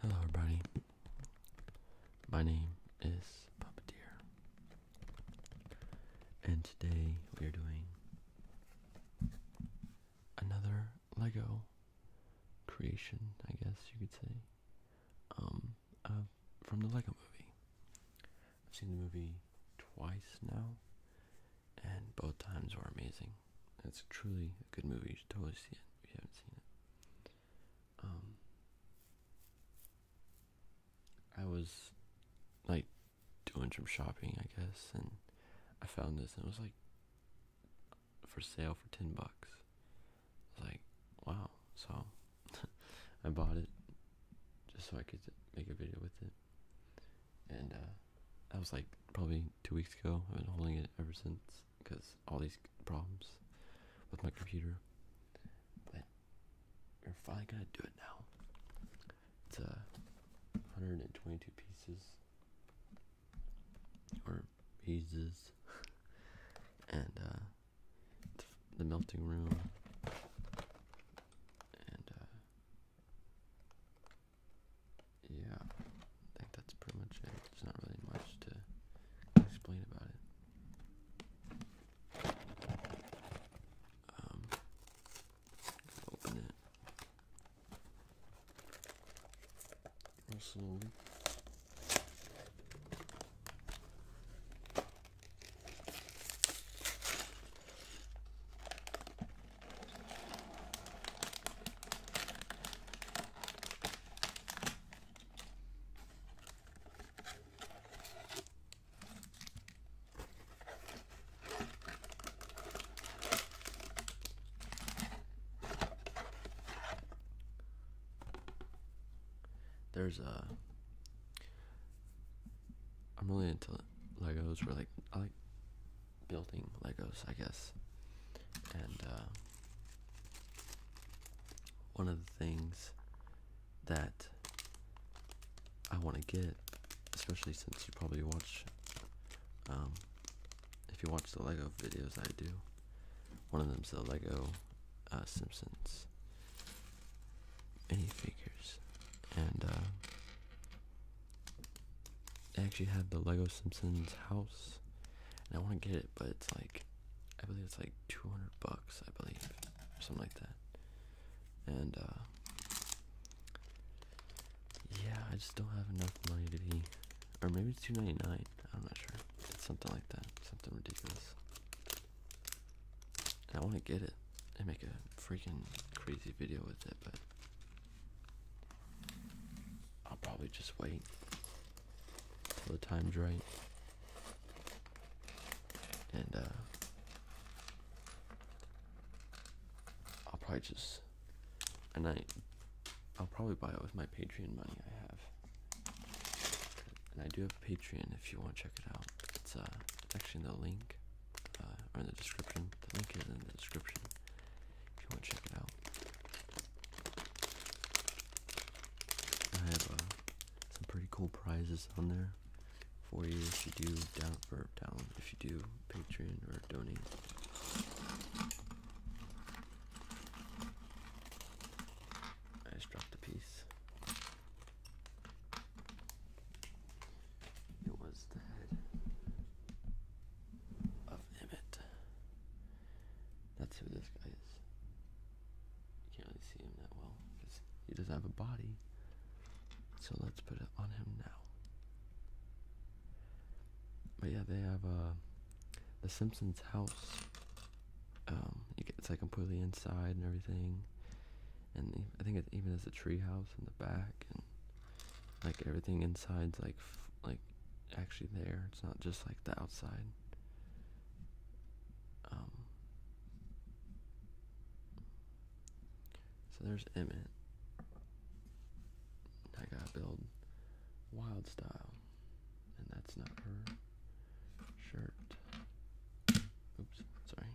Hello, everybody. My name is Puppeteer, and today we are doing another Lego creation, I guess you could say, um, from the Lego movie. I've seen the movie twice now, and both times were amazing. That's truly a good movie. You should totally see it if you haven't seen it. Um, I was like doing some shopping, I guess, and I found this, and it was like for sale for ten bucks. I was like, wow! So I bought it just so I could make a video with it, and uh, that was like probably two weeks ago. I've been holding it ever since because all these problems with my computer. But we're finally gonna do it now. It's a uh, 122 pieces or pieces, and uh, the melting room, and uh, yeah, I think that's pretty much it. There's not really much to explain about it. Um, open it. slowly. There's a. I'm really into Legos. Where like I like building Legos, I guess. And uh, one of the things that I want to get, especially since you probably watch, um, if you watch the Lego videos I do, one of them's the Lego uh, Simpsons Simpsons figures, And uh, I actually have the Lego Simpsons house, and I want to get it, but it's like, I believe it's like 200 bucks, I believe, or something like that. And, uh, yeah, I just don't have enough money to be, or maybe it's 299 I'm not sure. It's something like that, something ridiculous. I want to get it and make a freaking crazy video with it, but I'll probably just wait till the time's right. And, uh, I'll probably just, and I, I'll probably buy it with my Patreon money I have. And I do have Patreon if you want to check it out. It's, uh, it's actually in the link, uh, or in the description. The link is in the description if you want to check it out. I have uh, some pretty cool prizes on there for you if you do down or down if you do Patreon or donate. I just dropped a piece. It was the head of Emmett. That's who this guy is. You can't really see him that well because he doesn't have a body. So let's put it on him now. But yeah, they have uh, the Simpsons house. Um, get, it's like completely inside and everything, and I think it even has a tree house in the back like everything inside's like like actually there it's not just like the outside um, so there's Emmett I gotta build wild style and that's not her shirt oops sorry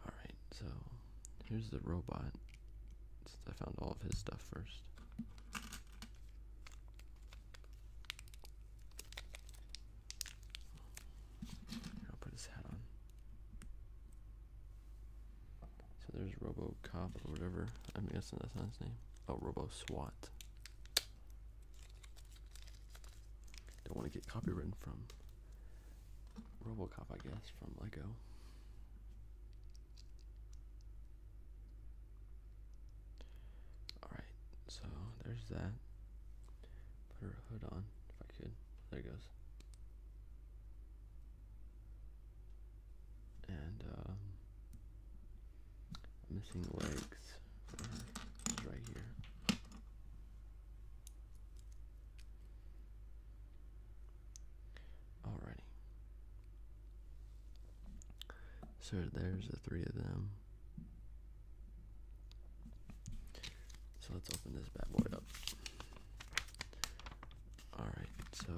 all right so here's the robot. I found all of his stuff first. I'll put his hat on. So there's RoboCop or whatever. I'm guessing that's not his name. Oh, RoboSWAT. Don't want to get copywritten from. Robocop, I guess, from Lego. Alright, so there's that. Put her hood on if I could. There it goes. And um, missing legs for her. It's right here. Alrighty. So there's the three of them. So let's open this bad boy up. Alright, so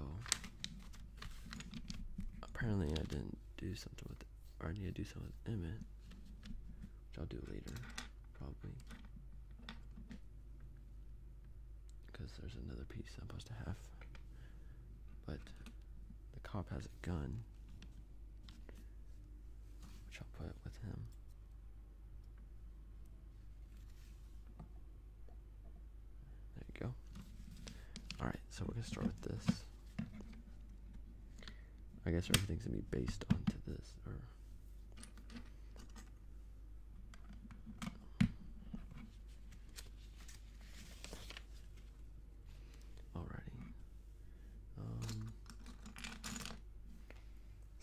apparently I didn't do something with or I need to do something with Emmett, which I'll do later, probably because there's another piece I'm supposed to have. But the cop has a gun, which I'll put with him. There you go. Alright, so we're going to start with this. I guess everything's going to be based onto this, Alrighty. Um,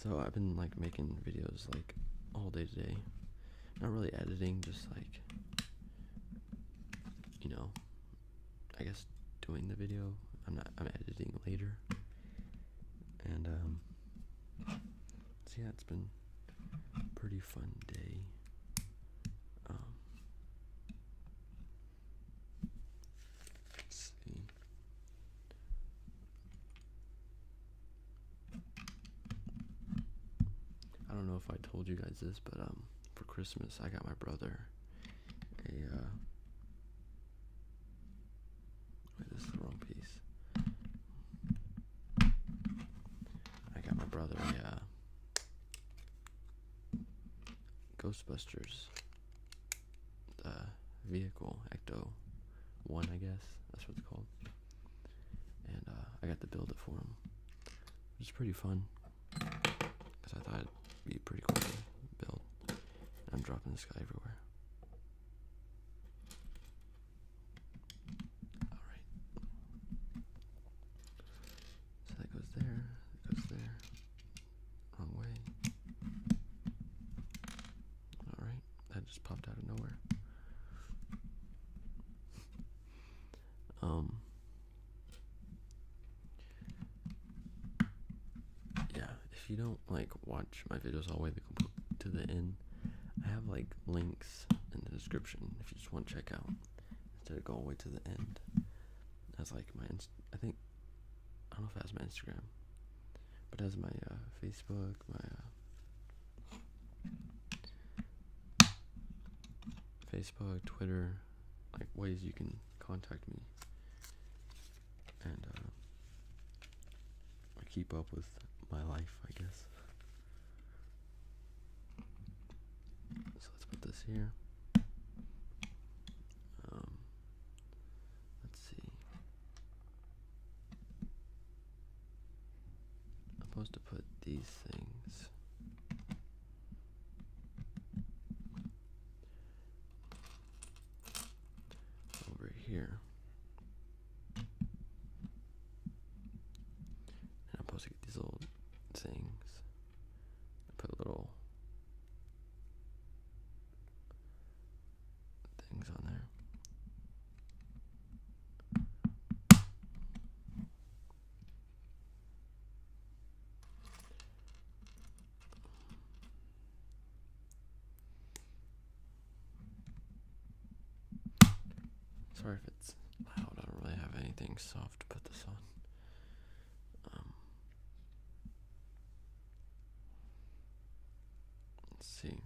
so I've been like making videos like all day today. Not really editing, just like you know, I guess doing the video. I'm not. I'm editing later. And um, See, yeah, it's been a pretty fun day. Um, let's see. I don't know if I told you guys this, but um, for Christmas I got my brother a. Uh, wait, this the wrong piece. I got my brother a Ghostbusters vehicle, Ecto 1, I guess. That's what it's called. And uh, I got to build it for him. It was pretty fun. Because I thought it'd be pretty cool to build. I'm dropping this guy everywhere. All right. So that goes there. That goes there. Wrong way. All right. That just popped out of nowhere. um. Yeah, if you don't like watch my videos all the way to the end, I have like links in the description if you just want to check out instead of going the way to the end. That's like my, Inst I think, I don't know if that's my Instagram, but that's my uh, Facebook, my uh, Facebook, Twitter, like ways you can contact me and uh, keep up with my life, I guess. So let's put this here. Um, let's see. I'm supposed to put these things. Over here, and I'm supposed to get these little things. Put little things on there. Sorry if it's loud. I don't really have anything soft to put this on. Um, let's see.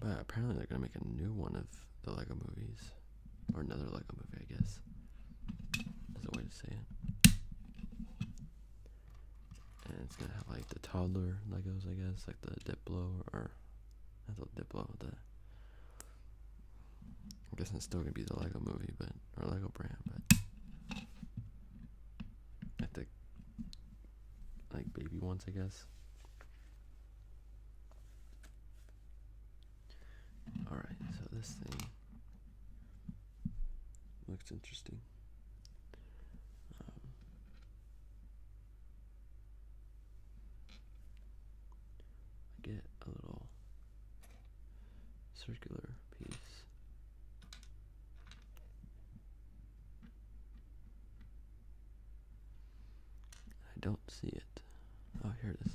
But apparently they're gonna make a new one of the Lego movies, or another Lego movie, I guess. Is a way to say it. And it's gonna have like the toddler Legos, I guess, like the Diplo or I thought Diplo, the I guess it's still gonna be the Lego movie, but or Lego brand, but I think like baby ones, I guess. All right, so this thing looks interesting. Um, I get a little circular piece. I don't see it. Oh, here it is.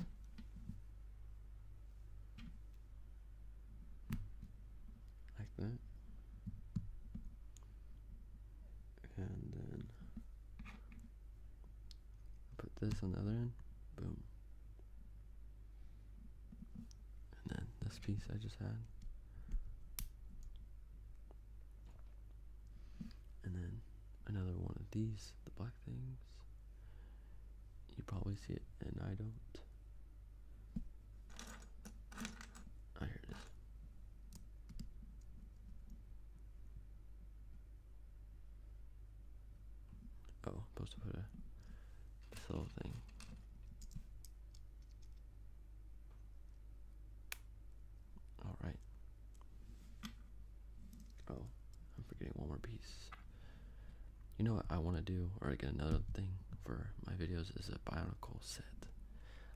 Like that and then put this on the other end, boom. And then this piece I just had. And then another one of these, the black things. You probably see it, and I don't. Oh, here it is. Oh, supposed to put a this little thing. All right. Oh, I'm forgetting one more piece. You know what I want to do, or get another thing for my videos is a bionicle set.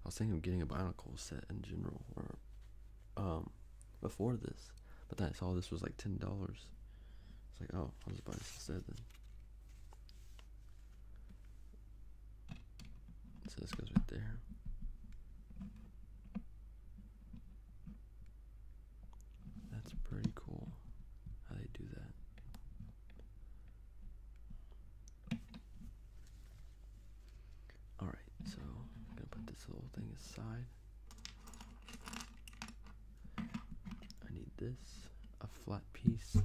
I was thinking of getting a binocular set in general or um before this, but then I saw this was like ten dollars. It's like, oh, I'll just buy this instead then. So this goes right there. That's pretty cool how they do that. Alright, so I'm gonna put this whole thing aside. I need this, a flat piece.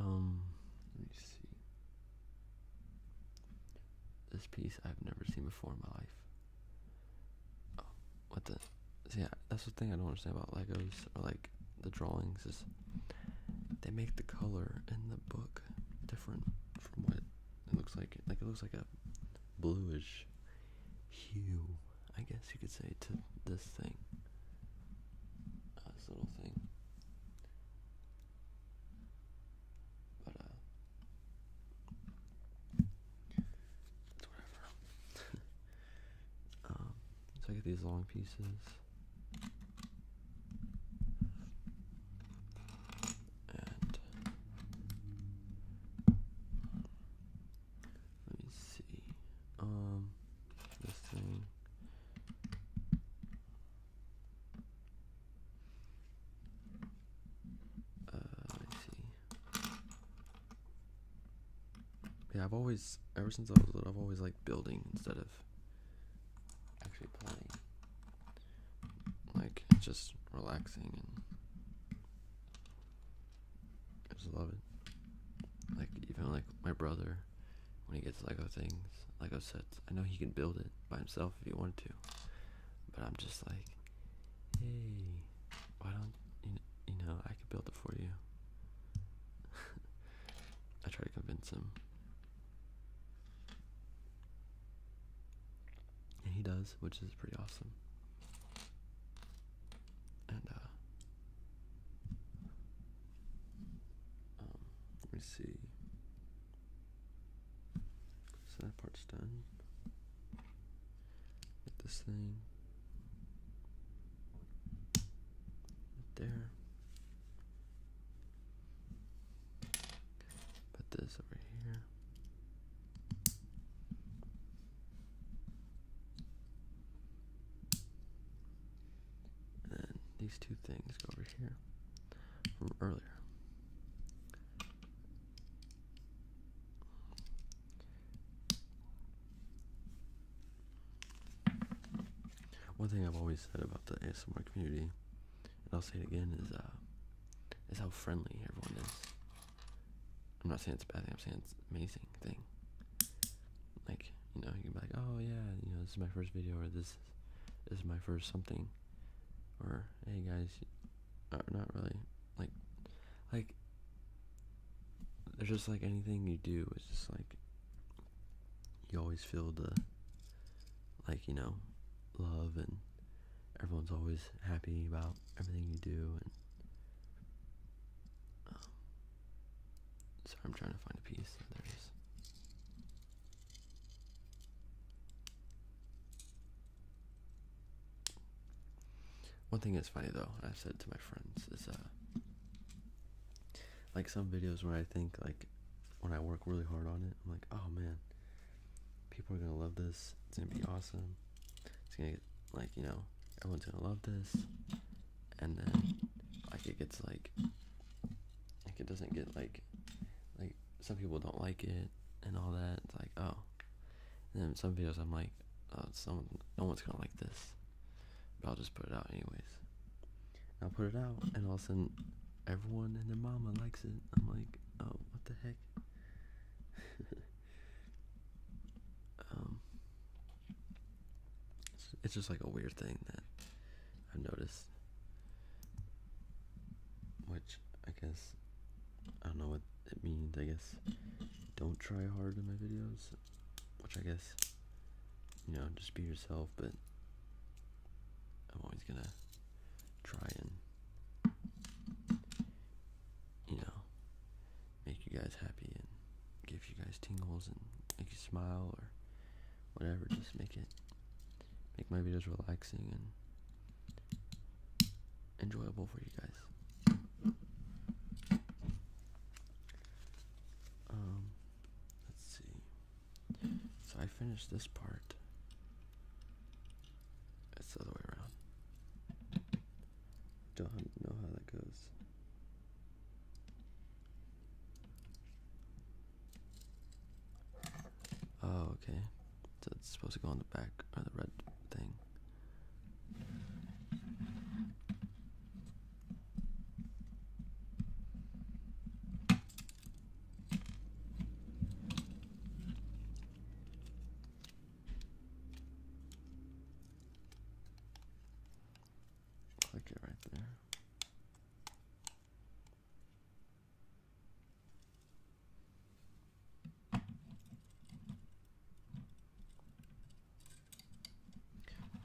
Um, let me see. This piece I've never seen before in my life. Oh, what the? Yeah, that's the thing I don't understand about Legos or like the drawings is they make the color in the book different from what it looks like. Like it looks like a bluish hue, I guess you could say, to this thing. Uh, this little thing. But uh, it's whatever. um, so I get these long pieces. let me see. Um this thing uh, I see. Yeah, I've always, ever since I was little, I've always liked building instead of actually playing. Like, just relaxing and I just love it. Like, even like my brother, when he gets Lego things, Lego sets, I know he can build it by himself if he wanted to. But I'm just like, hey, why don't you? You know, I could build it for you. I try to convince him, and he does, which is pretty awesome. And uh, um, let me see. So that part's done. Get this thing right there. Put this over here. And these two things go over here from earlier. One thing I've always said about the ASMR community, and I'll say it again, is uh, is how friendly everyone is. I'm not saying it's a bad thing. I'm saying it's an amazing thing. Like you know, you can be like, oh yeah, you know, this is my first video, or this is my first something, or hey guys, not really like like there's just like anything you do it's just like you always feel the like you know love and everyone's always happy about everything you do and um, sorry i'm trying to find a piece there it is one thing that's funny though, i said to my friends is uh, like some videos where I think like when I work really hard on it, I'm like, oh man, people are gonna love this. It's gonna be awesome. It's gonna get like you know everyone's gonna love this, and then like it gets like like it doesn't get like like some people don't like it and all that. It's like oh, and then some videos I'm like, oh, someone, no one's gonna like this, but I'll just put it out anyways. I'll put it out, and all of a sudden, everyone and their mama likes it. I'm like, oh, what the heck? um, it's just like a weird thing that I've noticed, which I guess I don't know what it means. I guess don't try hard in my videos, which I guess you know just be yourself. But I'm always gonna try and you know make you guys happy and give you guys tingles and make you smile or whatever. Just make it make my videos relaxing and enjoyable for you guys. Um, let's see. So I finished this part. It's the other way around. Don't know how that goes. Oh, okay. So it's supposed to go on the back or the red thing. Click it right there.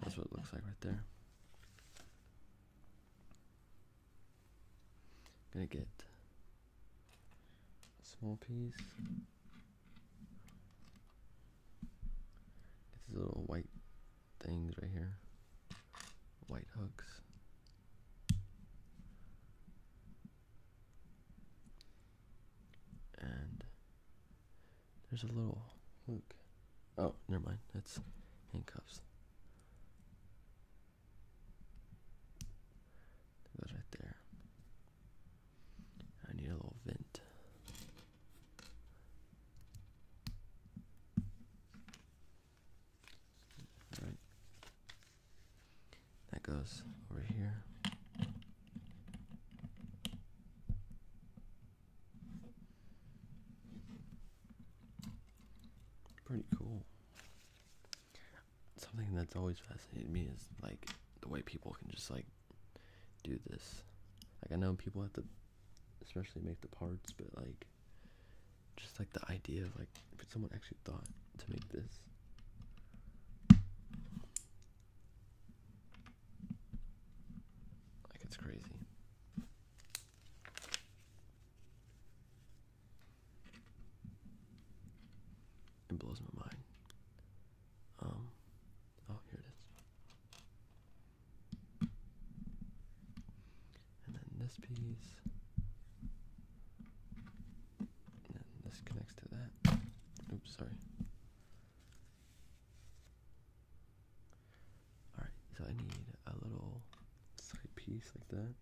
That's what it looks like right there. I'm gonna get a small piece. Get these little white things right here. White hooks. And there's a little Luke. Oh, never mind. That's handcuffs. That's right there. I need a little vent. All right. That goes over here. Pretty cool. Something that's always fascinated me is like the way people can just like do this. Like I know people have to especially make the parts, but like just like the idea of like if someone actually thought to make this. Like it's crazy. It blows my mind. Um, oh, here it is. And then this piece. this connects to that. Oops, sorry. Alright, so I need a little side piece like that.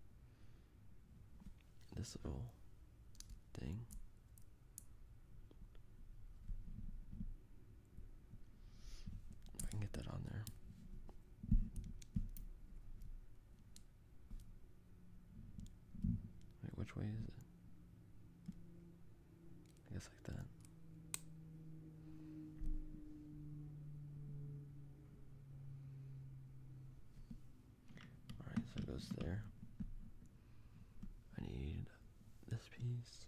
This little thing. I can get that on there. Wait, which way is it? I guess like that. Alright, so it goes there. I need this piece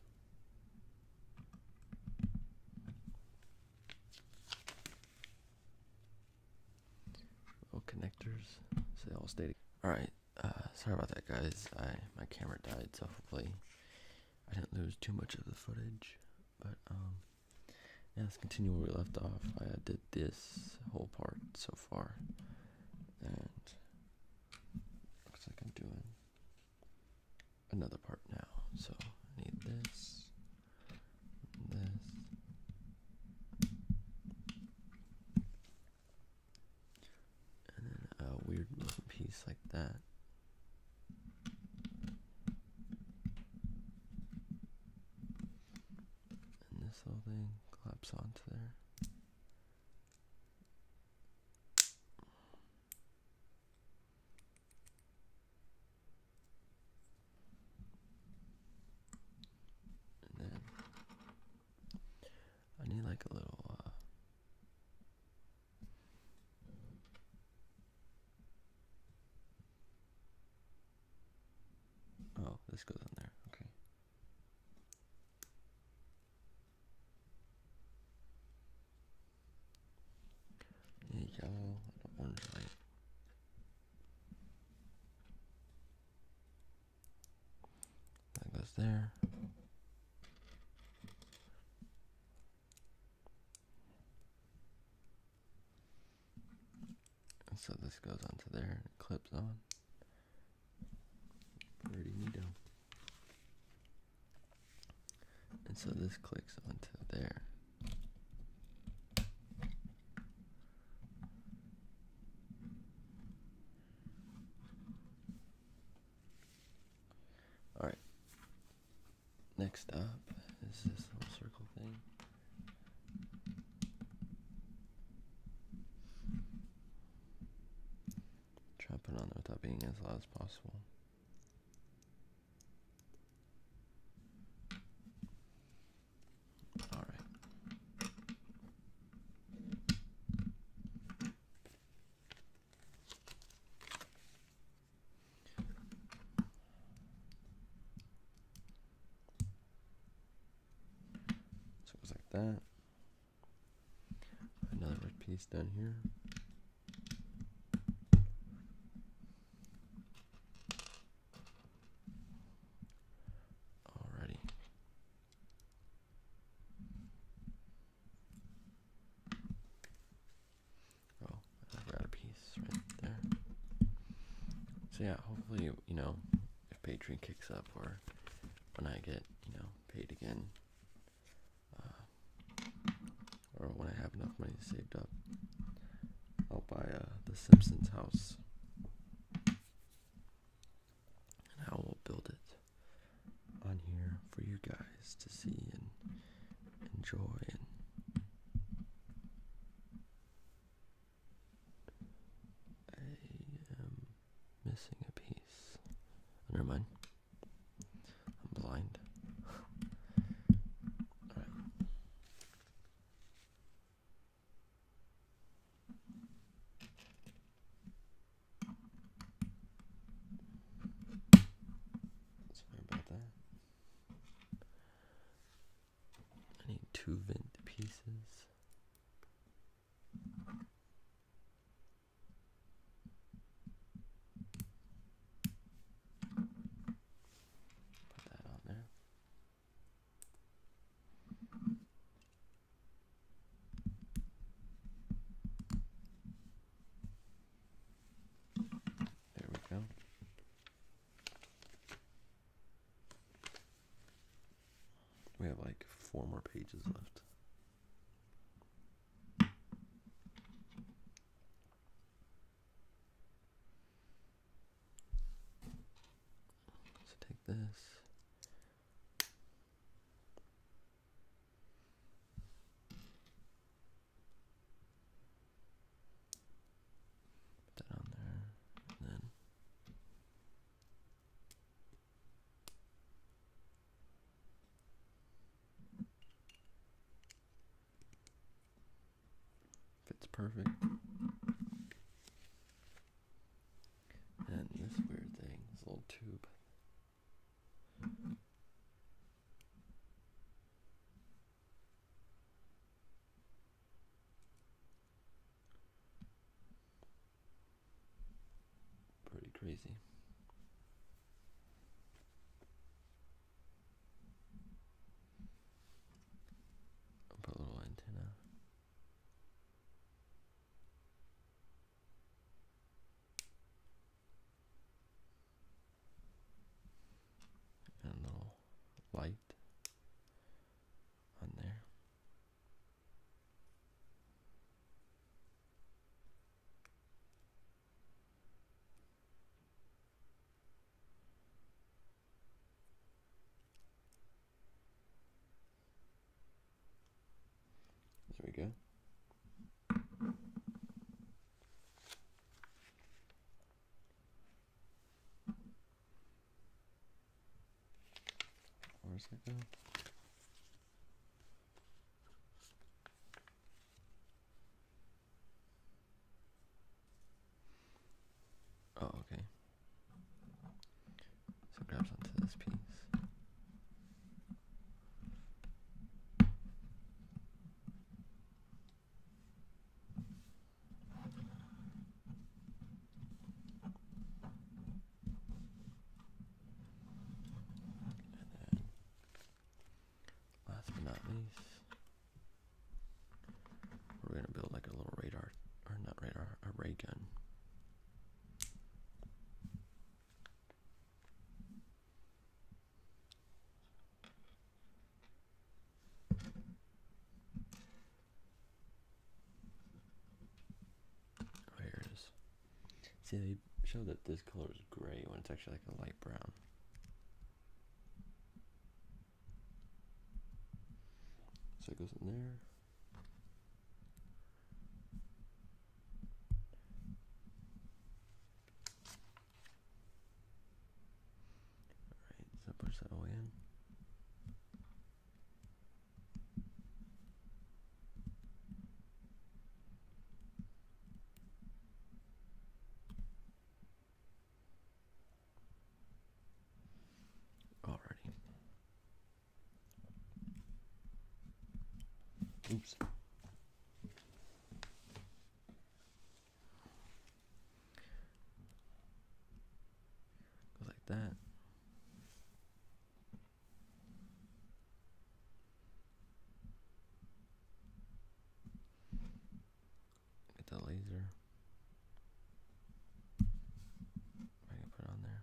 little oh, connectors so they all stay all right uh, sorry about that guys i my camera died so hopefully i didn't lose too much of the footage but um yeah, let's continue where we left off i did this whole part so far and looks like i'm doing another part now so i need this this and then a weird little piece like that. And this little thing claps onto there. And then I need like a little uh Oh, this goes in there. Okay. Yeah, yellow and orange light. That goes there. And so this goes onto there and clips on. Pretty neato. And so this clicks onto there. All right. Next up is this little circle thing. Try to put on there without being as loud as possible. All right. like that. Another red piece down here. Alrighty. Oh, I piece right there. So yeah, hopefully, you know, if Patreon kicks up or when I get, you know, paid again, uh, or when I have enough money saved up, I'll buy uh, the Simpsons house and I will build it on here for you guys to see and enjoy and I am missing a piece. Oh, never mind. I'm blind. Alright. Sorry about that. I need two vent pieces. Put that on there. There we go. We have like four more pages left. So take this Put that on there, and then. Fits perfect. And this weird thing, this little tube. Pretty crazy. put a little antenna a little light on there. There we go. Where's it go? Oh, okay. So it grabs onto this piece. And then, last but not least, we're gonna build like a little radar, or not radar, a ray gun there it is. See, they show that this color is gray when it's actually like a light brown. So it goes in there. Alright, so push that O in. Oops. like that. Get the laser. I can put on there.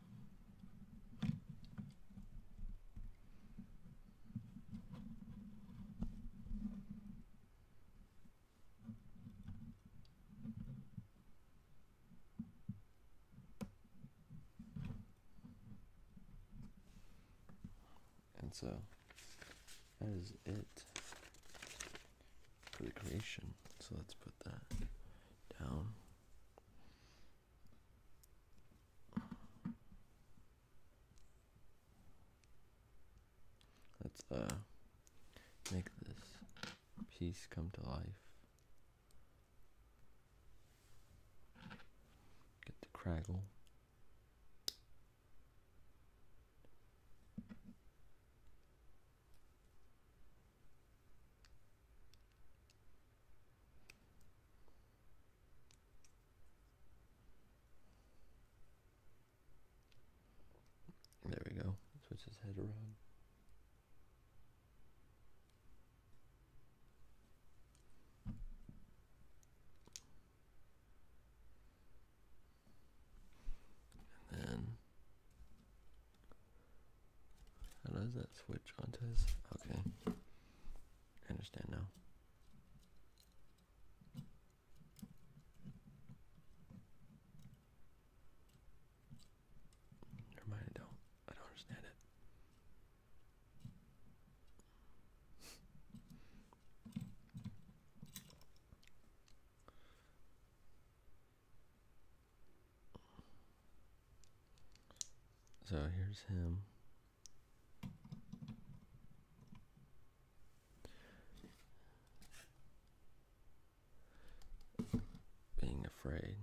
And so that is it for the creation. So let's put that down. Let's uh make this piece come to life. Get the craggle. There we go. Switch his head around. And then how does that switch onto his okay. I understand now. Never mind, don't. I don't understand it. So here's him. Being afraid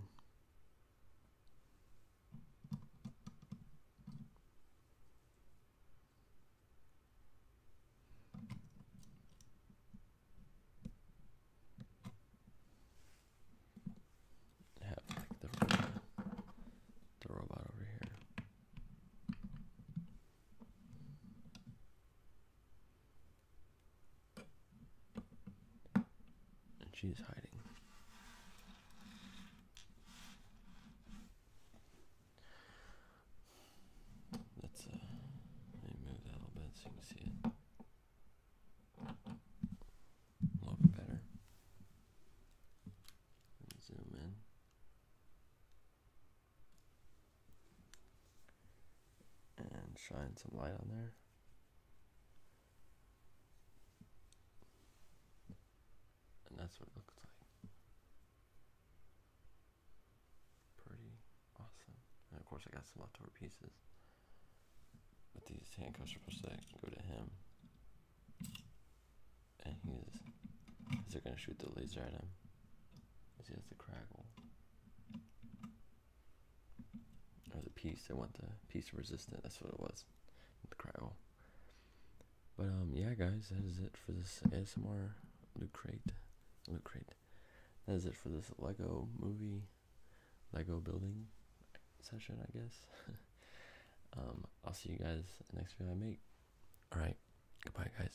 have the, robot over here. And she's hiding. Uh, Let's move that a little bit so you can see it a little bit better. Zoom in. And shine some light on there. And that's what it looks like. Pretty awesome. And of course, I got some leftover pieces. But these handcuffs are supposed to go to him. And he's. Is they're gonna shoot the laser at him? Is he has the craggle? Or a piece? I want the piece resistant. That's what it was. The craggle. But um, yeah, guys, that is it for this ASMR loot crate. Loot crate. That is it for this Lego movie, Lego building session, I guess. Um, I'll see you guys next video I make. All right, goodbye, guys.